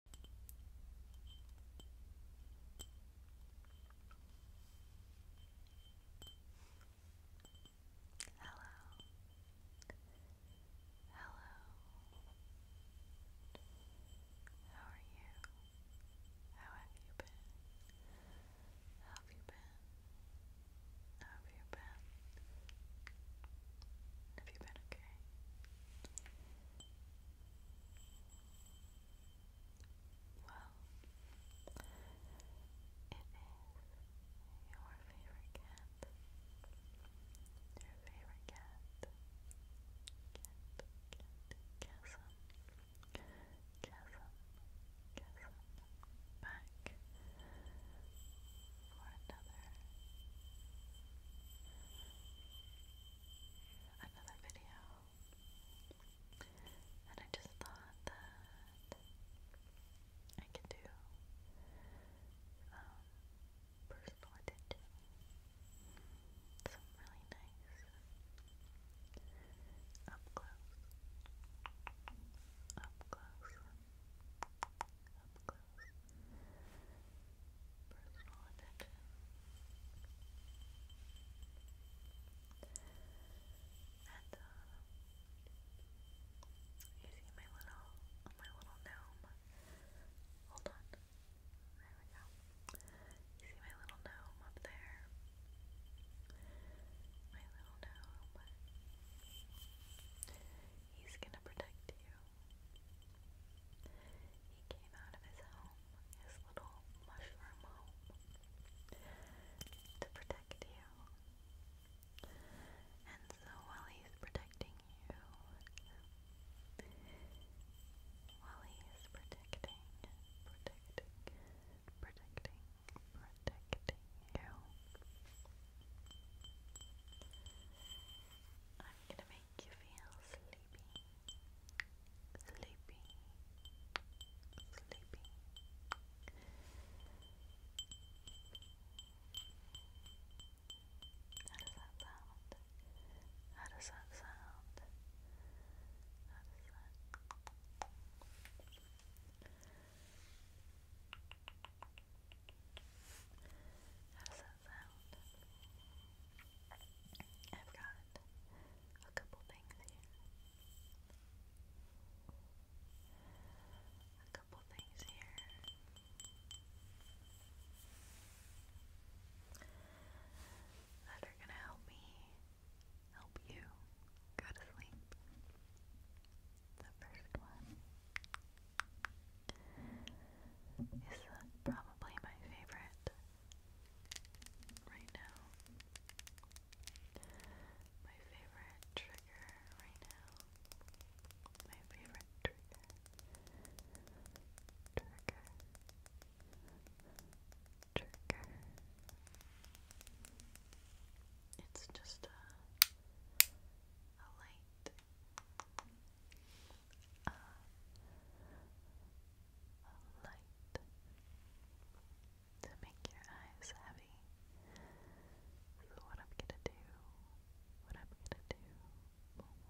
Hello. Hello. How are you? How have you been? have you been? have you been? Have you been okay? Well, it is your favorite cat. Your favorite cat. Cat, cat, chasm. Chasm, chasm. Back for another another video. And I just thought that I could do um, personal attention. Some really nice up close, up close, up close personal you see my little, my little gnome. Hold on, there we go. You see my little gnome up there. My little gnome. He's gonna protect you. He came out of his home, his little mushroom home, to protect you. And so while he's protecting you, while he is protecting, protecting, protecting, protecting you, I'm gonna make make you feel sleepy, sleepy, sleepy. How does that sound? How does that sound? How does that sound. I've got a couple things here. A couple things here. That are gonna help me help you go to sleep. The first one is probably my favorite right now. My favorite trigger right now. My favorite trigger. Trigger. Trigger. It's just a light uh, a light to make your eyes heavy. So what I'm gonna do, what I'm gonna do,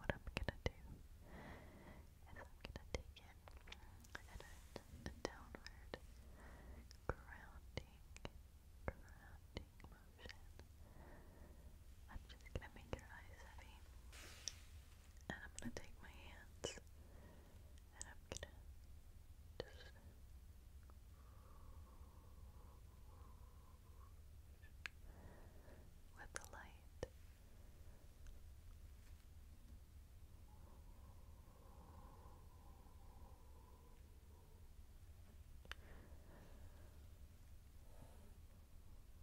what I'm gonna do is I'm gonna take it and a downward grounding, grounding motion. I'm just gonna make your eyes heavy. And I'm gonna take my hands and I'm gonna just with the light. We just want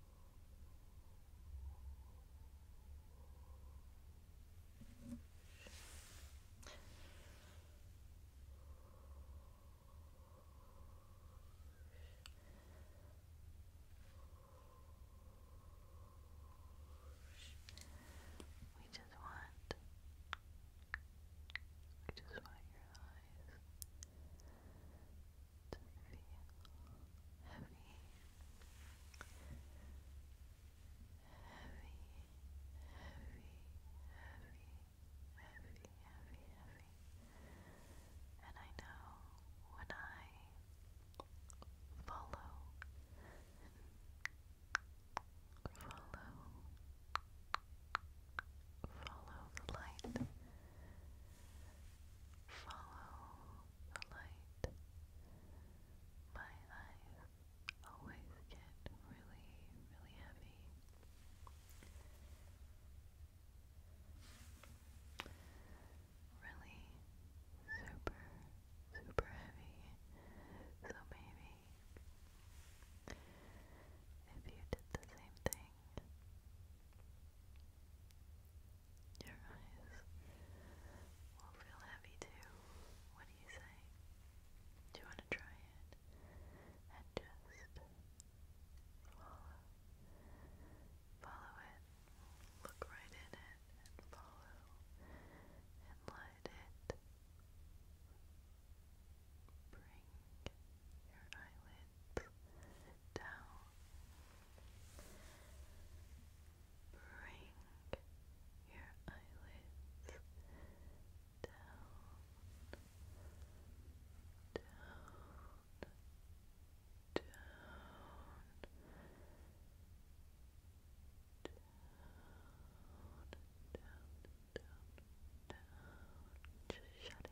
we just want your eyes to feel heavy, heavy, heavy, heavy, heavy, heavy, heavy. And I know when I follow, follow, follow the light. Follow the light. My eyes always get really, really heavy. Really super, super heavy. So maybe if you did the same thing, your eyes will feel heavy too. What do you say? Do you want to try it? And just follow. Follow it. Look right in it and follow. And let it bring your eyelid it down. Bring your eyelids down, down, down, down, down, down, down. Just shutting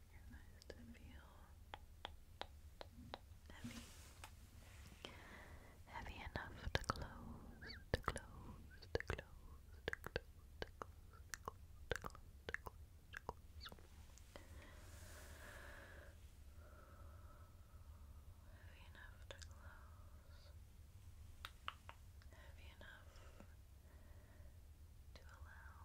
you heavy. enough to close, to close, to close, to close, to close, to close, to close. To close. Heavy enough to close. Heavy enough to allow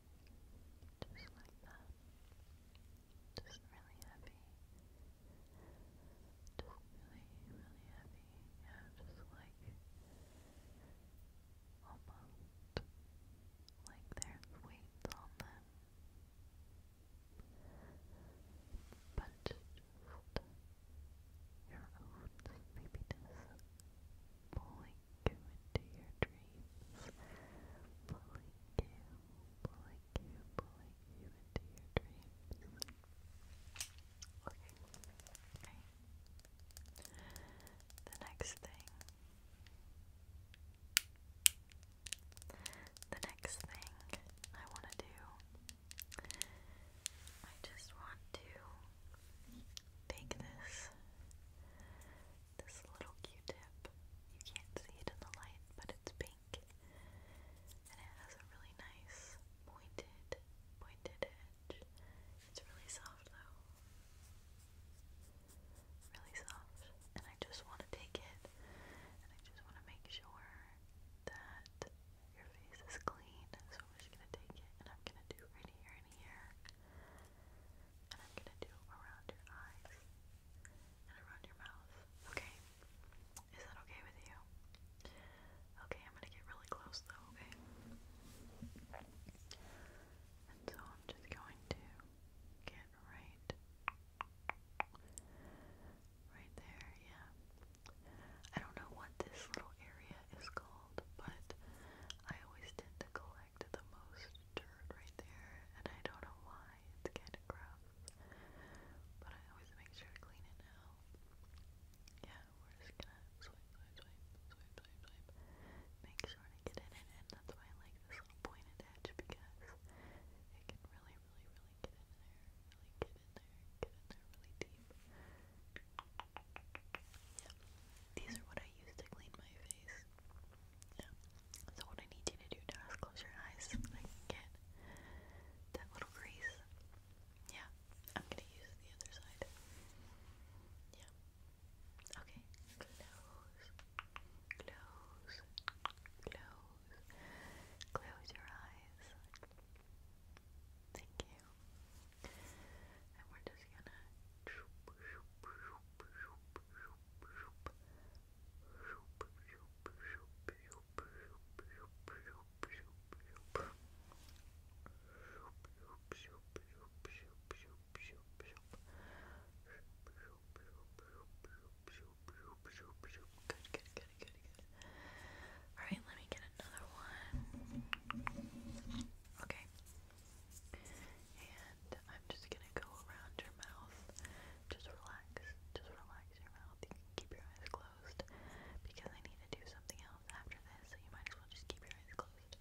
Just like that. Just really heavy. Just really, really heavy. Yeah, just like almost like there's weights on them. But your own sleepiness pulling you into your dreams, pulling you, pulling you, pulling you into your dreams. Okay. okay. The next thing. The next thing I want to do, I just want to take this this little Q-tip. You can't see it in the light, but it's pink, and it has a really nice pointed pointed edge. It's really soft though. Really soft. And I just want to take it and I just want to make sure that your face is clean. So I'm just going to take it and I'm going to do right here here. And I'm gonna do around your eyes and around your mouth. Okay? Is that okay with you? Okay, I'm gonna get really close though, okay? And so I'm just going to get right right there, yeah. I don't know what this little area is called, but I always tend to collect collected the most dirt right there, and I don't know why, it's kind of gross, but I always make sure to clean it now. Yeah, we're just gonna swipe, swipe, swipe, swipe, swipe, swipe, make sure to get it and that's why I like this pointed edge, because it can really, really, really get in there, really get in there, get in there really deep. These are what I use to clean my face. So what I need you to do now is close your eyes so that little grease. Yeah. I'm gonna use the other side. Yeah. Okay. Close. Close. Close. Close your eyes. Thank you. And we're just gonna shoop, shoop, shoop, shoop, shoop, shoop, shoop, shoop, shoop, shoop, shoop, shoop, shoop, shoop. Good, good, good, good, good. Alright, let me get another one. Okay. And I'm just gonna go around your mouth. Just relax. Just relax your mouth. You keep your eyes closed because I need to do something else after this, so you might as well just keep your eyes closed.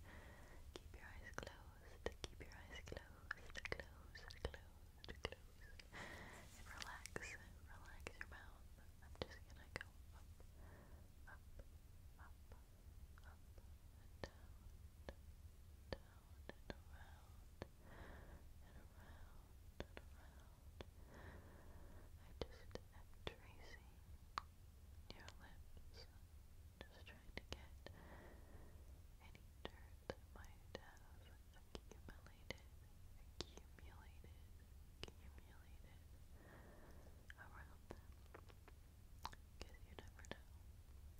Keep your eyes closed. Keep your eyes closed. Closed. Closed. Closed. And relax. Relax your mouth. I'm just gonna go up, up. Up, and down, down and around, and around, and around. I just am tracing your lips, just trying to get any dirt might have accumulated, accumulated, accumulated around them. Because you never know.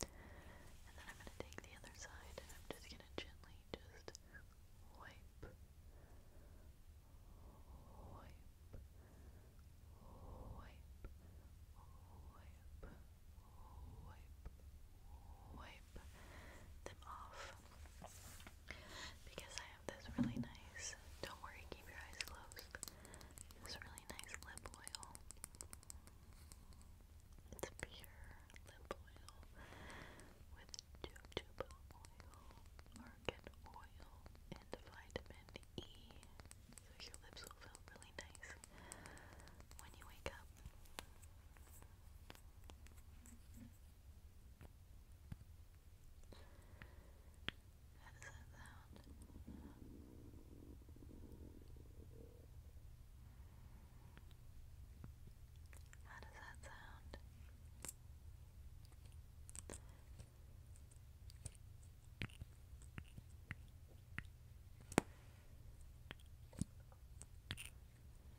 And then I'm going to take the other side and I'm just going to gently just wipe, wipe, wipe, wipe, wipe, wipe them off. Because I have this really nice, don't worry, keep your eyes closed this really nice lip oil. It's pure lip oil with jojoba oil, argan oil, and vitamin E. So your lips will feel really nice when you wake up. How does that sound? How does that sound?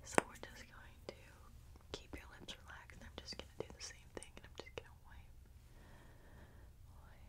So we're just going to keep your lips relaxed. I'm just going to do the same thing and I'm just going to wipe, wipe, wipe,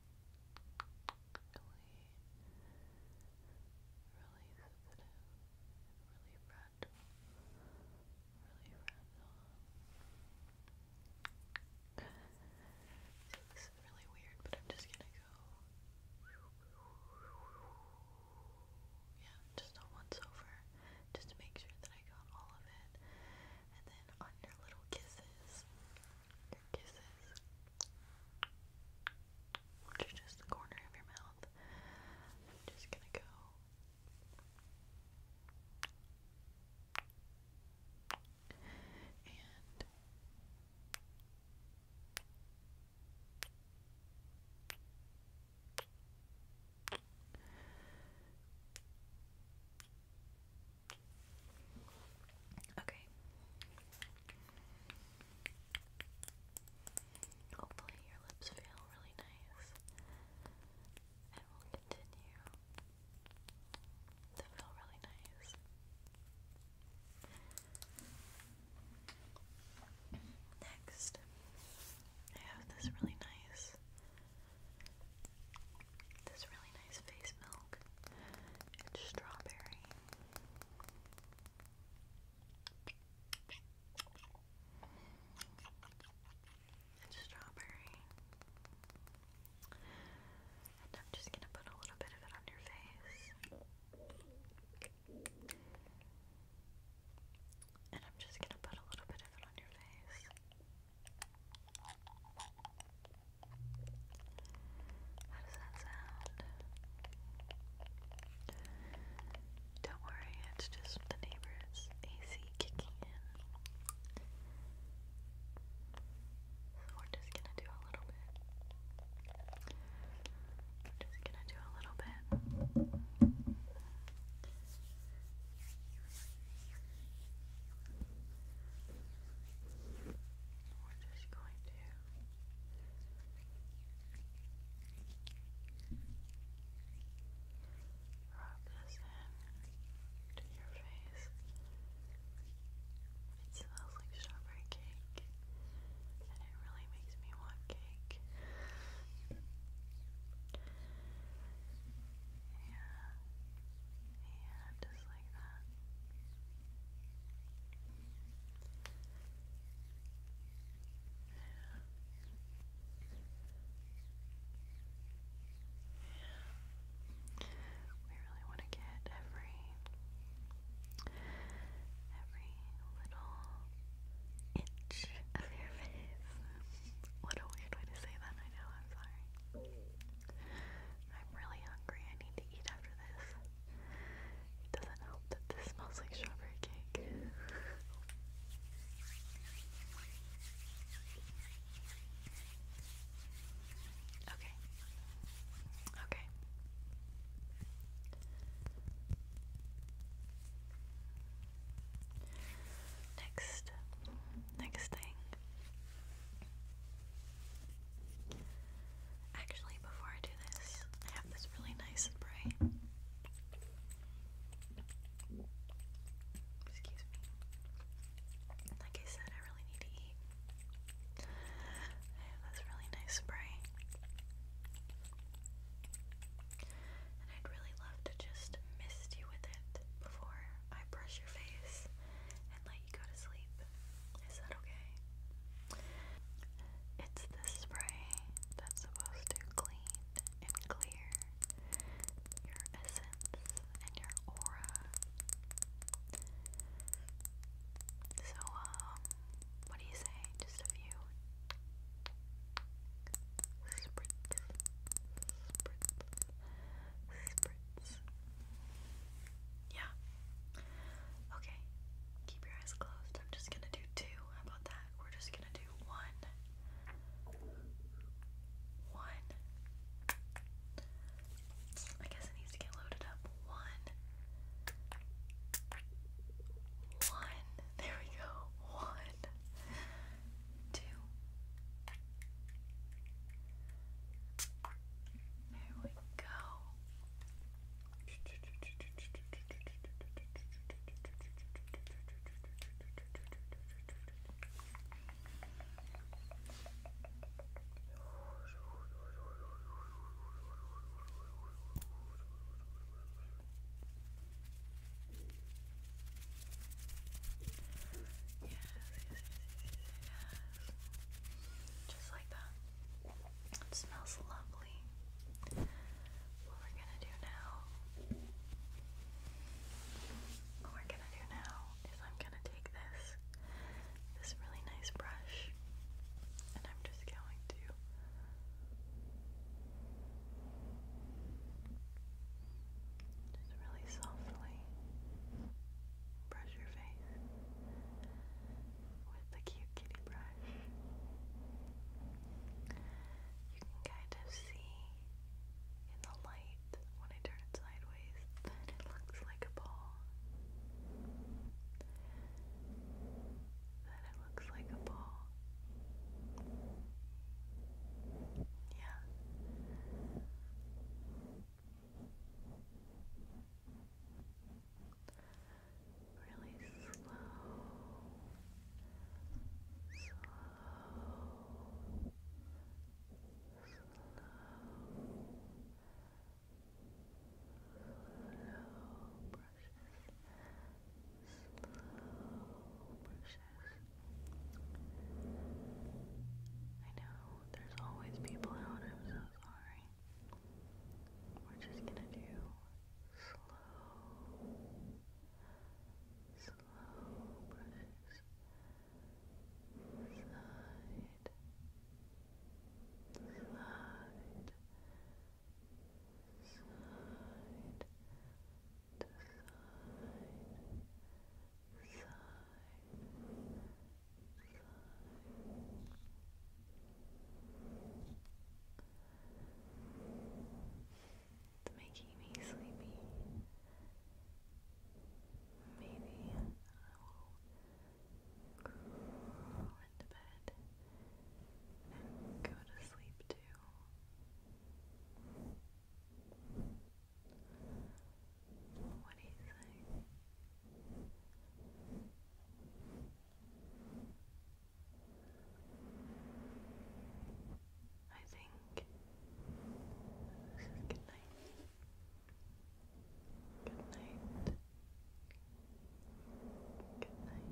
really sensitive really fragile. Really fragile. So this is really weird, but I'm just gonna go yeah, just on once over, just to make sure that I got all of it. And then on your little kisses, kisses, which just the corner of your mouth. just gonna go. Okay. Hopefully your lips feel really nice. And we'll continue to feel really nice. Next, I have this really nice this really nice face milk. It's strawberry. It's strawberry. And I'm just gonna put a little bit of it on your face. And I'm just gonna put a little bit of it on your face. How does that sound? Don't worry, it's just the neighbor's AC kicking in. So we're just gonna do a little bit. just gonna do a little bit we're just going to rub this in your face. It smells like strawberry cake, and it really makes me want cake. Yeah, yeah, just like that. We really want to get every every little itch of your face. what a weird way to say that, I know, I'm sorry. I'm really hungry. I need to eat after this. It doesn't help that this smells like strawberry cake. okay. Okay. Next, next thing Actually, before I do this, I have this really nice spray. Excuse me. Like I said, I really need to eat. I have this really nice spray. And I'd really love to just mist you with it before I brush your face and, like, go to sleep. Is that okay? It's the spray that's supposed to clean and clear your essence and your aura. So, um, what do you say? Just a few spritz, spritz, spritz. Yeah. Okay. Keep your eyes closed. I'm just gonna do two. How about that? We're just gonna do one. One. I guess it needs to get loaded up. One. One. There we go. One. Two. There we go. Yes, yes, yes, yes, yes. Just like that. smells lovely. What we're gonna do now. What we're gonna do now is I'm gonna take this this really nice brush and I'm just going to just really softly brush your face with the cute kitty brush. You can kind of see in the light when I turn sideways that it looks like a ball. That it looks like a ball. Yeah. Really slow, slow, slow, slow brushes. Slow brushes. I know there's always people out. i sorry. We're just gonna do slow, slow brushes. Slide, slide, slide, to side, side. It's making me sleepy. Maybe I will crawl into bed and go to sleep too. What do you think? I think good night. Good night. Good night. Good night.